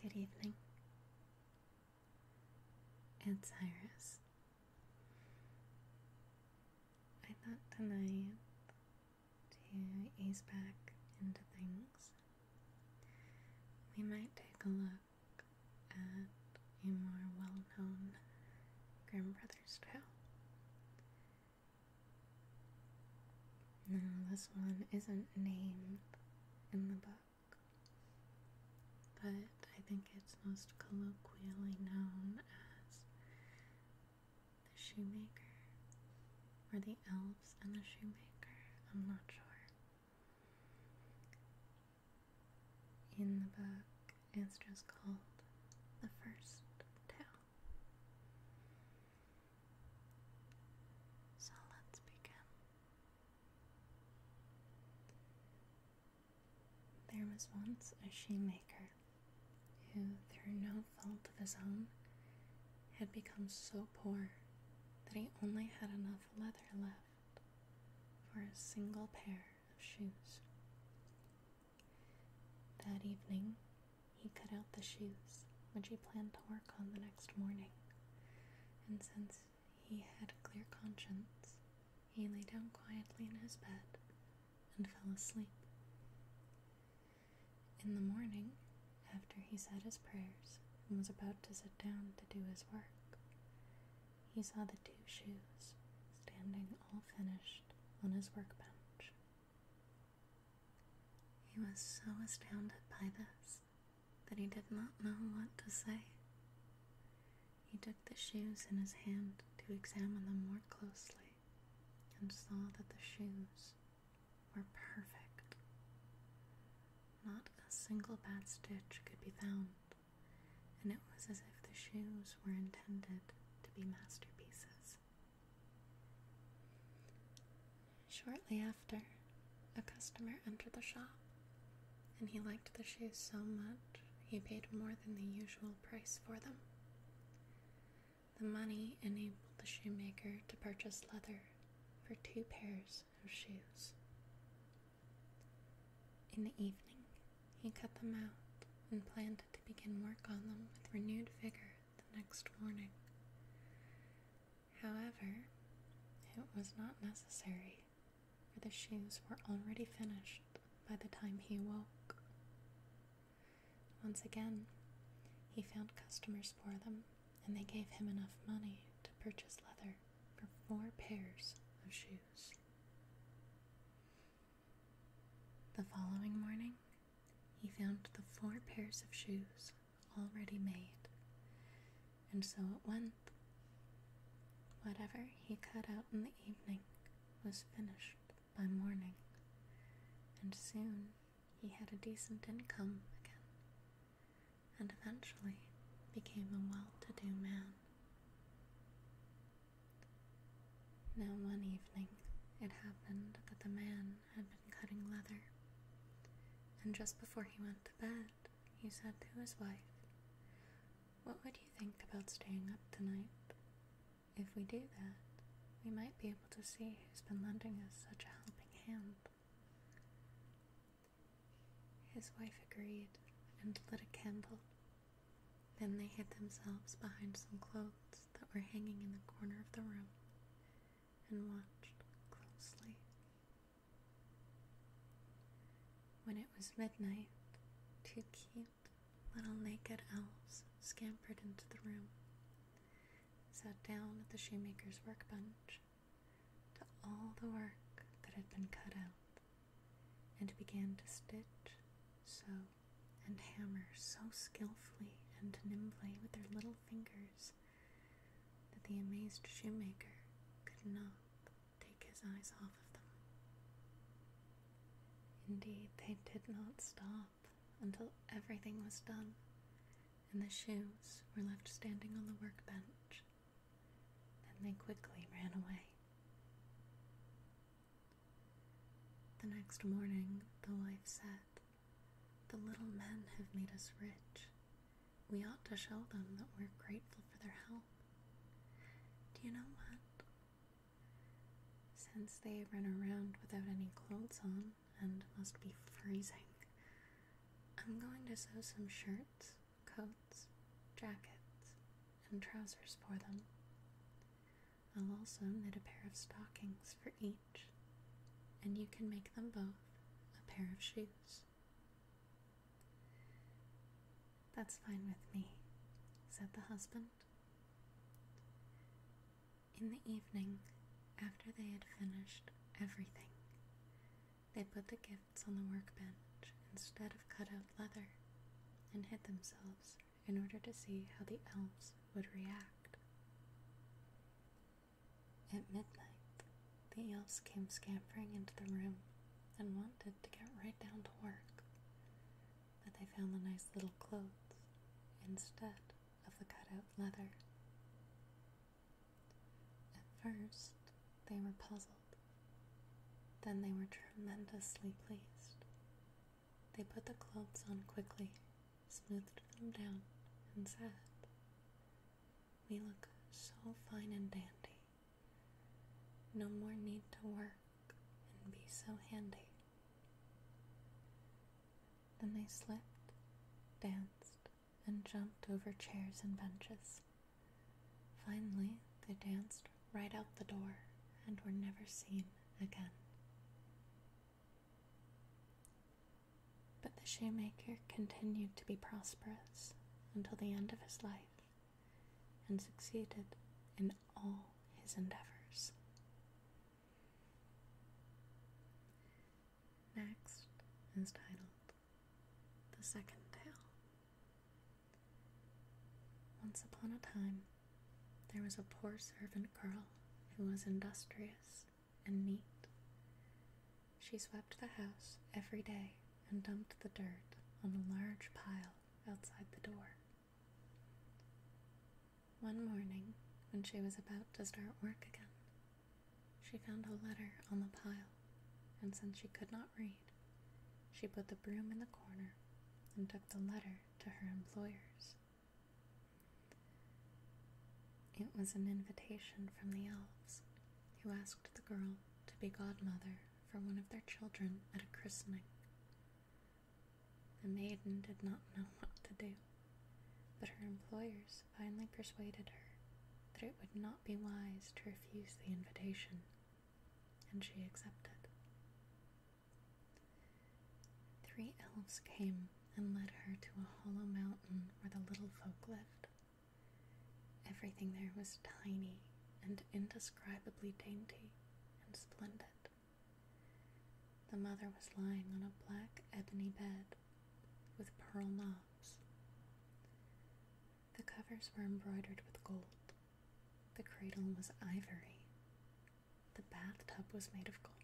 Good evening. Aunt Cyrus. I thought tonight to ease back into things, we might take a look at a more well known Grimm Brothers tale. No, this one isn't named in the book, but I think it's most colloquially known as the Shoemaker or the Elves and the Shoemaker. I'm not sure. In the book, it's just called the First Town. So let's begin. There was once a shoemaker who, through no fault of his own, had become so poor that he only had enough leather left for a single pair of shoes. That evening, he cut out the shoes, which he planned to work on the next morning, and since he had a clear conscience, he lay down quietly in his bed and fell asleep. In the morning, after he said his prayers and was about to sit down to do his work, he saw the two shoes standing all finished on his workbench he was so astounded by this that he did not know what to say. He took the shoes in his hand to examine them more closely and saw that the shoes were perfect. Not a single bad stitch could be found, and it was as if the shoes were intended to be masterpieces. Shortly after, a customer entered the shop, and he liked the shoes so much he paid more than the usual price for them. The money enabled the shoemaker to purchase leather for two pairs of shoes. In the evening, he cut them out and planned to begin work on them with renewed vigor the next morning. However, it was not necessary, for the shoes were already finished by the time he woke. Once again, he found customers for them, and they gave him enough money to purchase leather for four pairs of shoes. The following morning, he found the four pairs of shoes already made, and so it went. Whatever he cut out in the evening was finished by morning, and soon he had a decent income again, and eventually became a well to do man. Now, one evening, it happened that the man had been cutting leather, and just before he went to bed, he said to his wife, What would you think about staying up tonight? If we do that, we might be able to see who's been lending us such a helping hand. His wife agreed and lit a candle then they hid themselves behind some clothes that were hanging in the corner of the room and watched closely. When it was midnight, two cute little naked elves scampered into the room, sat down at the shoemaker's workbench to all the work that had been cut out and began to stitch, sew, and hammer so skilfully and nimbly with their little fingers that the amazed shoemaker could not take his eyes off of them. Indeed, they did not stop until everything was done, and the shoes were left standing on the workbench then they quickly ran away. The next morning, the wife said, The little men have made us rich. We ought to show them that we're grateful for their help. Do you know what? Since they run around without any clothes on and must be freezing, I'm going to sew some shirts coats, jackets, and trousers for them. I'll also knit a pair of stockings for each, and you can make them both a pair of shoes. That's fine with me, said the husband. In the evening, after they had finished everything, they put the gift on the workbench instead of cut out leather and hid themselves in order to see how the elves would react. At midnight, the elves came scampering into the room and wanted to get right down to work, but they found the nice little clothes instead of the cutout leather. At first, they were puzzled then they were tremendously pleased. They put the clothes on quickly, smoothed them down, and said, We look so fine and dandy. No more need to work and be so handy. Then they slipped, danced, and jumped over chairs and benches. Finally, they danced right out the door and were never seen again. But the shoemaker continued to be prosperous until the end of his life and succeeded in all his endeavors. Next is titled the Second Tale Once upon a time, there was a poor servant girl who was industrious and neat. She swept the house every day and dumped the dirt on a large pile outside the door. One morning, when she was about to start work again, she found a letter on the pile, and since she could not read, she put the broom in the corner and took the letter to her employers. It was an invitation from the elves, who asked the girl to be godmother for one of their children at a christening. The maiden did not know what to do, but her employers finally persuaded her that it would not be wise to refuse the invitation, and she accepted. Three elves came and led her to a hollow mountain where the little folk lived. Everything there was tiny and indescribably dainty and splendid. The mother was lying on a black ebony bed with pearl knobs. The covers were embroidered with gold. The cradle was ivory. The bathtub was made of gold.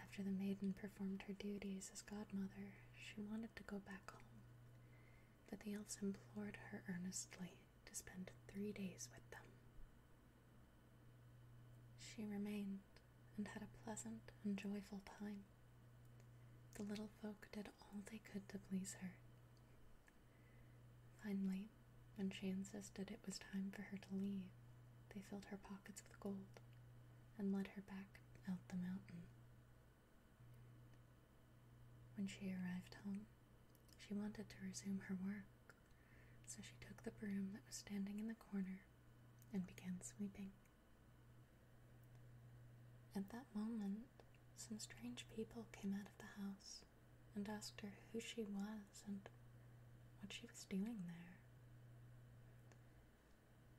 After the maiden performed her duties as godmother, she wanted to go back home. But the elves implored her earnestly to spend three days with them. She remained, and had a pleasant and joyful time. The little folk did all they could to please her. Finally, when she insisted it was time for her to leave, they filled her pockets with gold and led her back out the mountain. When she arrived home, she wanted to resume her work, so she took the broom that was standing in the corner and began sweeping. At that moment, some strange people came out of the house and asked her who she was and what she was doing there.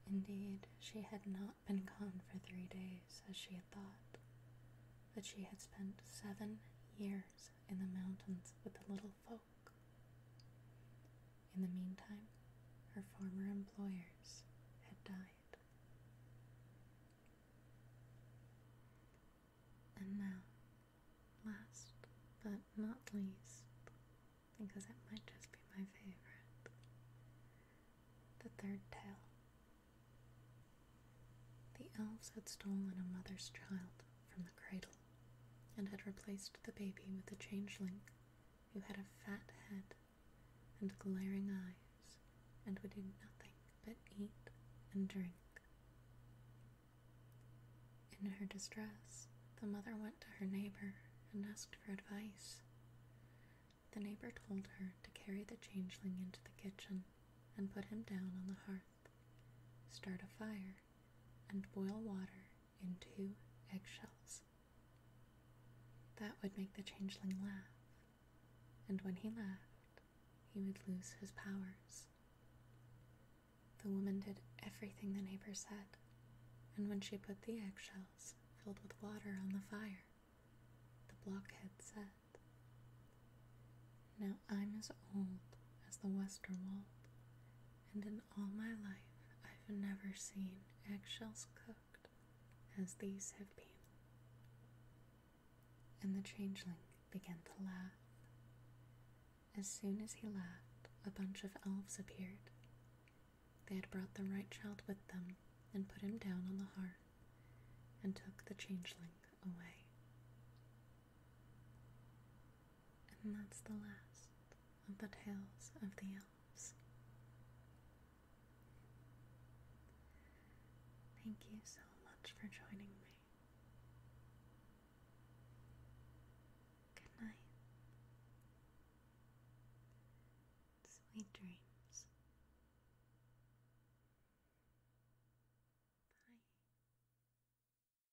Indeed, she had not been gone for three days, as she had thought, but she had spent seven years in the mountains with the little folk in the meantime, her former employers had died. And now, last but not least, because it might just be my favorite, the third tale. The elves had stolen a mother's child from the cradle and had replaced the baby with a changeling who had a fat head and glaring eyes and would do nothing but eat and drink. In her distress, the mother went to her neighbor and asked for advice. The neighbor told her to carry the changeling into the kitchen and put him down on the hearth, start a fire, and boil water and two eggshells. That would make the changeling laugh, and when he laughed, he would lose his powers. The woman did everything the neighbor said, and when she put the eggshells filled with water on the fire, the blockhead said, Now I'm as old as the western wall." and in all my life I've never seen eggshells cooked as these have been. And the changeling began to laugh. As soon as he laughed, a bunch of elves appeared. They had brought the right child with them and put him down on the hearth and took the changeling away. And that's the last of the tales of the elves. Thank you so much for joining me. Good night. Sweet dreams. Bye.